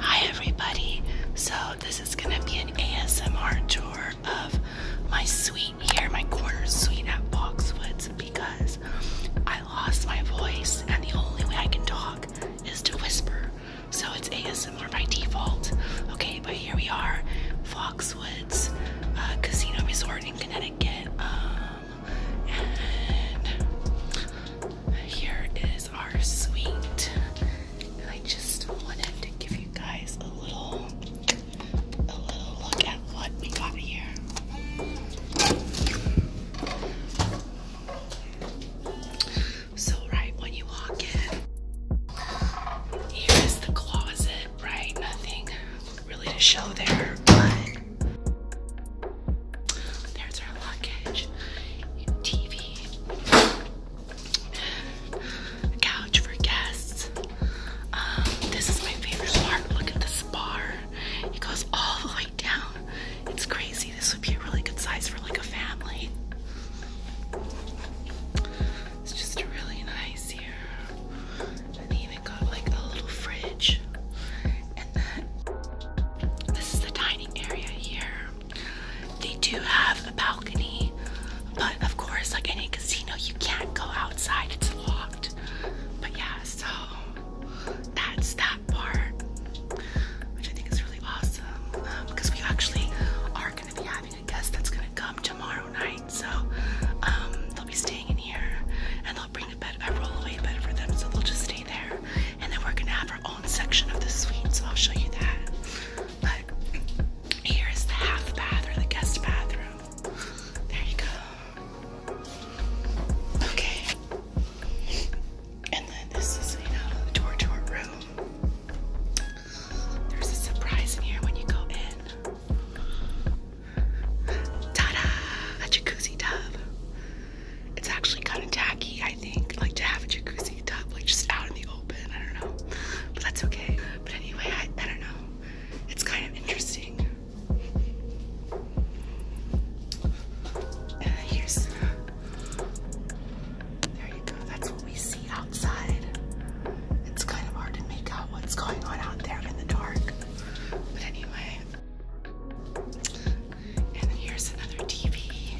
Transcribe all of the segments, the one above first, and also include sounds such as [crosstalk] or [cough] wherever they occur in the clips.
Hi everybody. So this is gonna be an ASMR tour of my suite here, my corner suite at Foxwoods, because I lost my voice and the only way I can talk is to whisper. So it's ASMR by default. Okay, but here we are, Foxwoods uh, Casino Resort in Connecticut. Um, and here is our suite. I just wanted to give you guys a little a little look at what we got here. So right when you walk in, here is the closet, right? Nothing really to show there, but there's our luggage, TV, a couch for guests. Um, this is my favorite part. Look at this bar. It goes all the way down. It's crazy. This would be a really good size for like a family. It's just really nice here got like a little fridge. And then this is the dining area here. They do have a balcony, but of course, like any casino, you can't go outside, it's locked. But yeah, so that's that part, which I think is really awesome because um, we actually are going to be having a guest that's going to come tomorrow night. So um, they'll be staying in here and they'll bring a bed, a rollaway bed for them. So they'll just stay there. And then we're gonna have our own section of the suite. So I'll show you that. But here is the half bath or the guest bathroom. There you go. Okay. And then this is, you know, the room. There's a surprise in here when you go in. Ta-da! A jacuzzi tub. It's actually kind of tacky, I think, like to have a jacuzzi tub, like just out in the open. I don't know, but that's okay. But anyway, I, don't know. It's kind of interesting. Uh, here's. There you go. That's what we see outside it's kind of hard to make out what's going on out there in the dark. But anyway, and here's another TV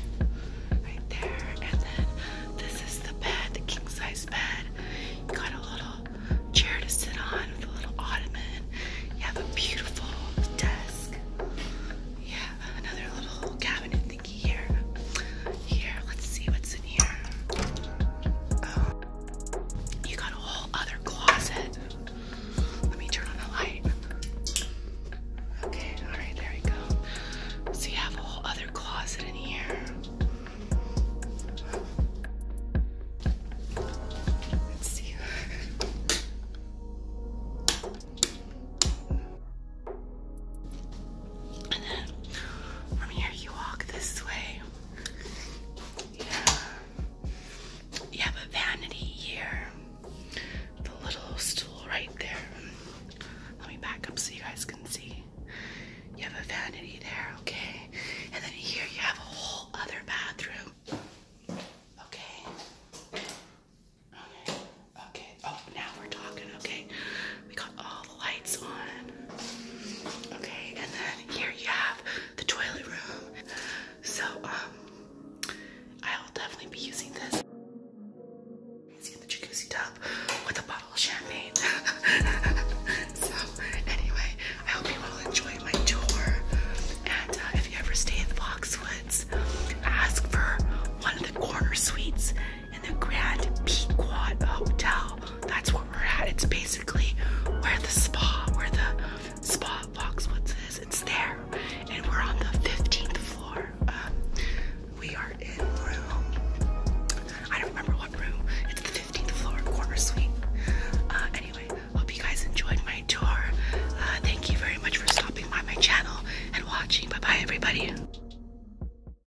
right there. And then this is the bed, the king size bed. got a little chair to sit on with a little ottoman. You have a beautiful desk. Yeah, another little cabinet thingy here. Here, let's see what's in here. Oh. You got a whole other closet. Let me turn on the light. Okay, all right, there you go. So you have a whole other closet in here. Let's see. from here you walk this way. Yeah. You have a vanity here. The little stool right there. Let me back up so you guys can see. You have a vanity there, okay? And then here you have a whole other bathroom. Okay. Okay. Okay. Oh, now we're talking, okay? We got all lights on. Okay, and then here you have the toilet room. So, um, I will definitely be using this. It's the jacuzzi tub with a bottle of champagne. [laughs] so, anyway, I hope you all enjoy my tour. And uh, if you ever stay in the Boxwoods, ask for one of the corner suites in the Grand Pequot Hotel that's where we're at. It's basically where the spa, where the spa box what's is. It's there, and we're on the 15th floor. Um, we are in room. I don't remember what room. It's the 15th floor, corner suite. Uh, anyway, hope you guys enjoyed my tour. Uh, thank you very much for stopping by my channel and watching. Bye bye, everybody.